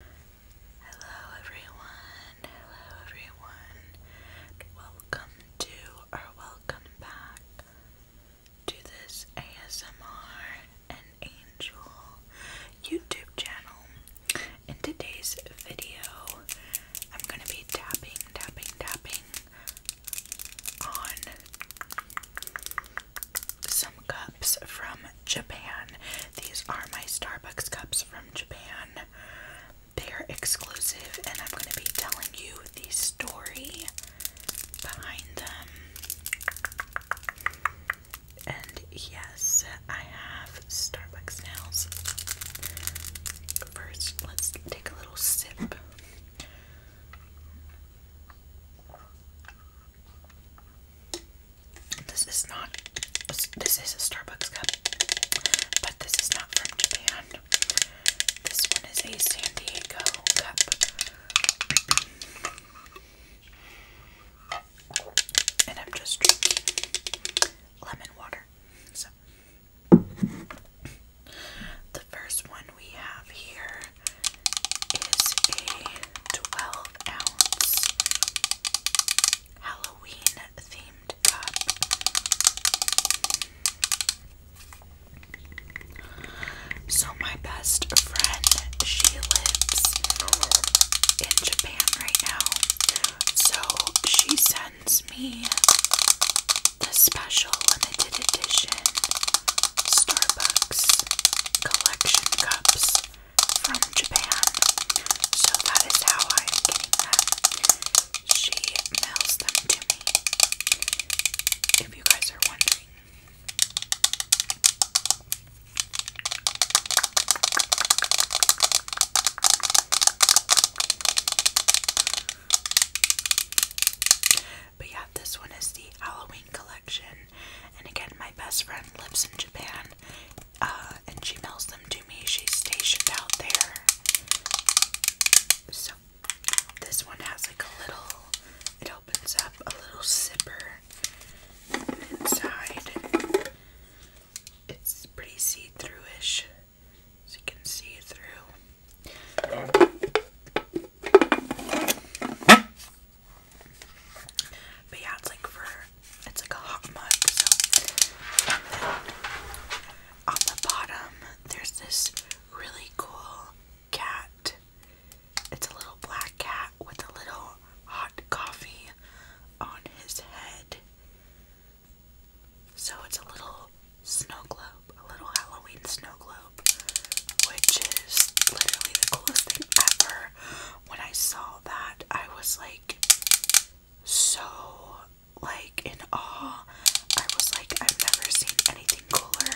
Hello everyone, hello everyone, welcome to or welcome back to this ASMR and Angel YouTube channel. In today's video, I'm going to be tapping, tapping, tapping on some cups from Japan. These are my Starbucks cups from Japan. They're exclusive, and I'm going to be telling you the story behind them. And yes, I have Starbucks nails. First, let's take a little sip. This is not. This is a Starbucks cup, but this is not from Japan. This one is a San Diego cup. And I'm just drinking lemon water. So, the first one we have here is a 12 ounce Halloween themed cup. So, my best friend, she lives in Japan right now. So, she sends me the special limited edition Starbucks collection cups from Japan. So that is how I'm getting them. She mails them to me. If you guys are wondering. But yeah, this one is the Halloween collection. And again, my best friend lives in Japan uh, and she mails them to me. She's stationed out there. So this one has like a little, it opens up a little zipper inside. It's pretty see-through-ish, so you can see through. But yeah, it's like for it's like a hot mug. So, on the bottom, there's this really cool cat. It's a little black cat with a little hot coffee on his head. So it's a little snow globe, a little Halloween snow globe, which is literally the coolest thing ever. When I saw that, I was like so like in awe. I was like, I've never seen anything cooler.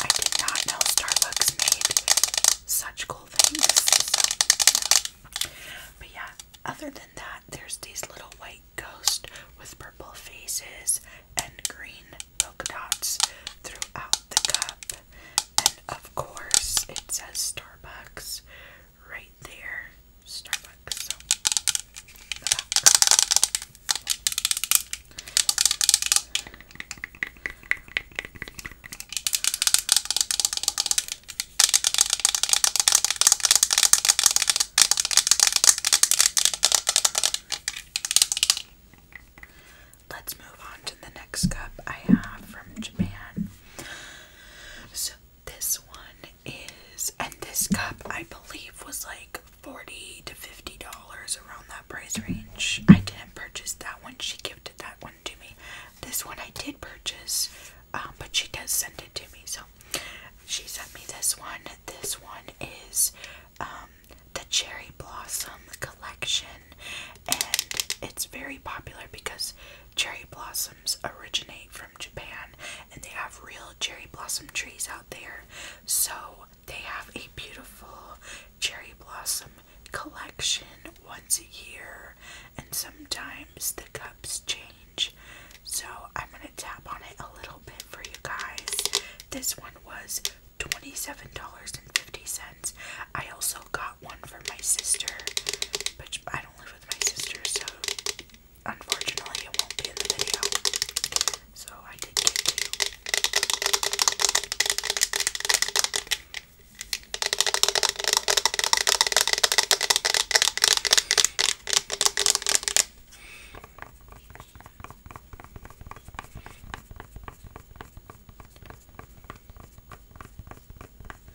I did not know Starbucks made such cool things. But yeah, other than that, there's these little white ghosts with purple faces and green polka dots throughout the cup. And of course, it says Starbucks right there. Starbucks. Let's move on to the next cup I have from Japan. So this one is, and this cup I believe was like forty to fifty dollars around that price range. I didn't purchase that one; she gifted that one to me. This one I did purchase, um, but she does send it to me. So she sent me this one. This one is um, the Cherry Blossom Collection, and it's very popular because Cherry blossoms originate from Japan and they have real cherry blossom trees out there. So they have a beautiful cherry blossom collection once a year and sometimes the cups change. So I'm going to tap on it a little bit for you guys. This one was $27.50. I also got one for my sister, but I don't live with my sister, so unfortunately it won't be in the video. So I did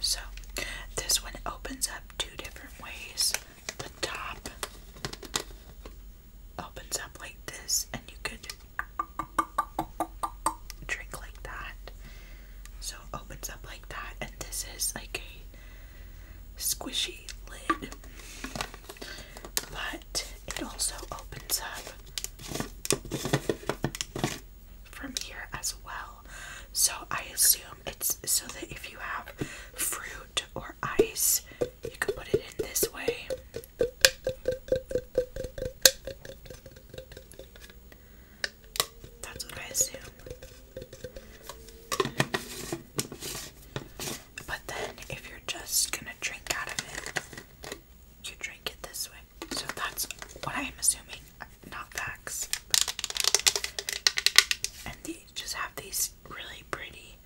So, this one opens up two different ways. The top opens up like this, and you could drink like that. So, it opens up like that, and this is like a squishy lid, but it also opens up from here as well. So I assume it's so that if you have fruit or ice, you can put it in this way. That's what I assume. But then, if you're just gonna drink out of it, you drink it this way. So that's what I'm assuming, not facts. And they just have these really pretty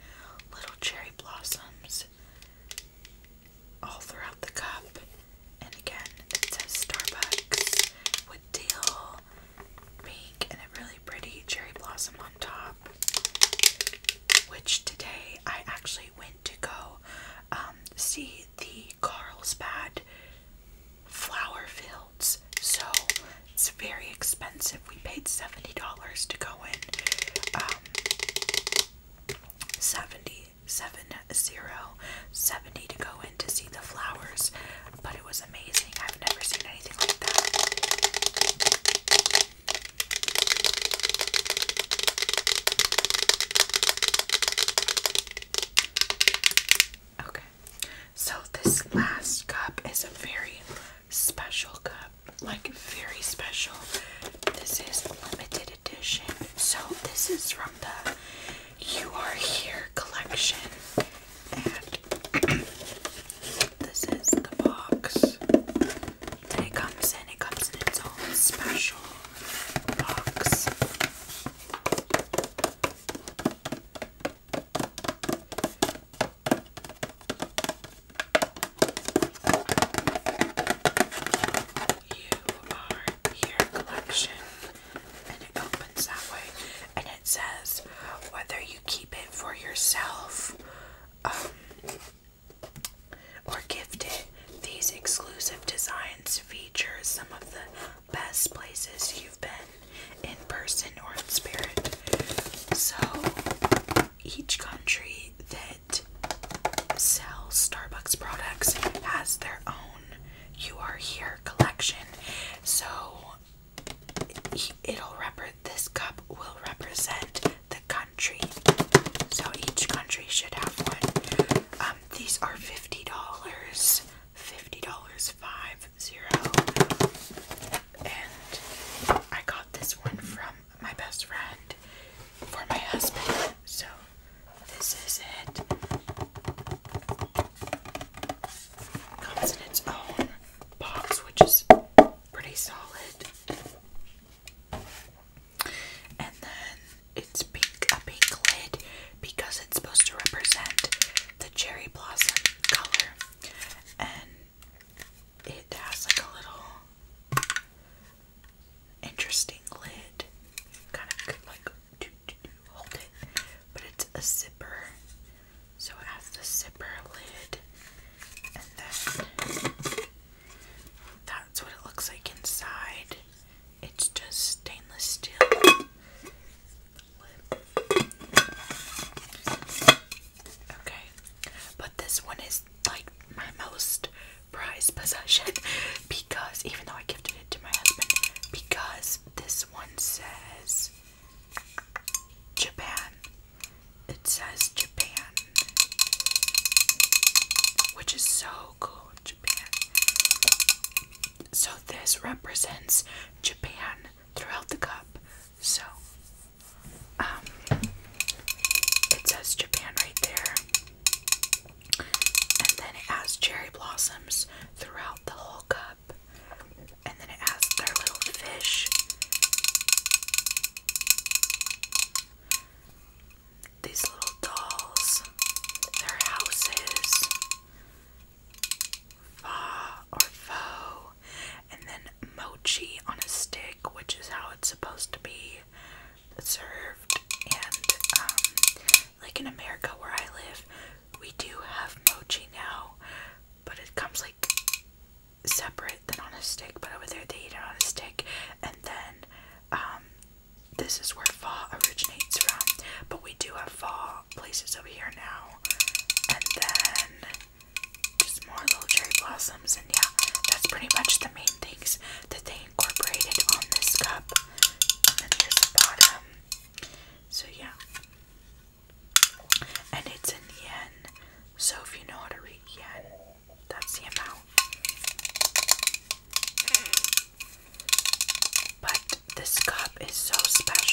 little cherry blossoms all throughout the cup. And again, it says Starbucks with teal, pink, and a really pretty cherry blossom on top. Which today I actually went to go um, see the Carlsbad flower fields. So it's very expensive. We paid $70 to go in. Um, 70, seven, zero, to go in to see the flowers. But it was amazing. I've never seen anything like that. Okay, so this last cup is a very special cup, like very special. This is limited edition. So this is from the You Are Here collection, and this is the box that it comes in. It comes in its own special box. You are here. collection, and it opens that way, and it says whether you keep it for yourself um, or gift it. These exclusive designs feature some of the best places you've been in person or in spirit. So each country that sells Starbucks products has their own You Are Here collection. So it'll rep this cup will represent the country. So each country should have one. Um, these are fifty dollars fifty dollars five zero. And I got this one from my best friend for my husband. So this is it. Comes in its own box, which is pretty solid. And then it's pink, a pink lid because it's supposed to represent the cherry blossom color. And it has like a little interesting lid. Kind of could like do, hold it, but it's a zipper. So it has the zipper lid, and then that's what it looks like inside. It's just stainless steel. Okay, but this one is like my most prized possession because even though I gifted it to my husband, because this one says Japan. It says Japan, which is so cool. Japan. So this represents Japan throughout the cup. So um it says Japan right there. And then it has cherry blossoms throughout the whole cup. And then it has their little fish. These little dolls, their houses, Fa or faux, and then mochi on a stick, which is how it's supposed to be served. And um, like in America where I live, we do have mochi now, but it comes like separate than on a stick. But over there, they eat it on a stick, and then um, this is where fall originates from, but we do have fall places over here now. And then just more little cherry blossoms, and yeah, that's pretty much the main things that they incorporated on this cup. And then here's the bottom. So yeah. And it's in yen. So if you know how to read yen, that's the amount. But this cup is so special.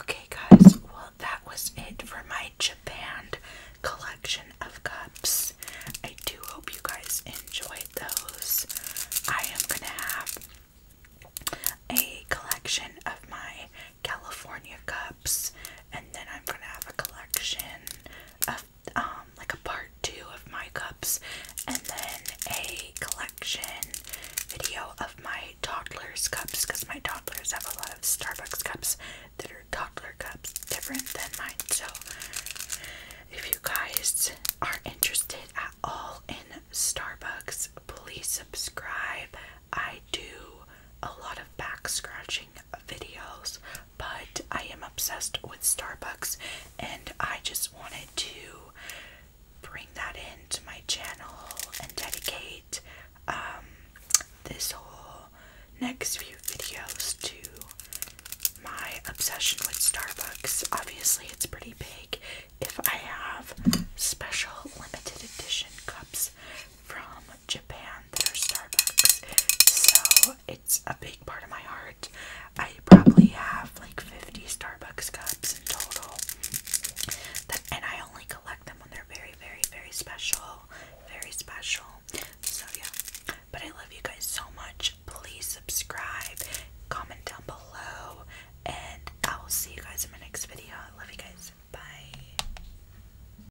Okay, guys, well, that was it for my Japan collection of cups. I do hope you guys enjoyed those. I am gonna have a collection of my California cups, and then I'm gonna have a collection of um like a part two of my cups, and then a collection video of my toddlers cups because my toddlers have a lot of Starbucks cups that are toddler cups, different than mine. So if you guys are interested at all in Starbucks, please subscribe. I do a lot of back scratching videos, but I am obsessed with Starbucks and I just wanted to bring that into my channel and dedicate um, this whole next few videos to my obsession with Starbucks. Obviously, it's pretty big if I have special limited edition cups from Japan that Starbucks. So it's a big part of my heart. I probably have like 50 Starbucks cups in total. and I only collect them when they're very, very, very special. Very special. So yeah. But I love you guys so much. Please subscribe. Comment down below. And I will see you guys in my next video. love you guys. Bye.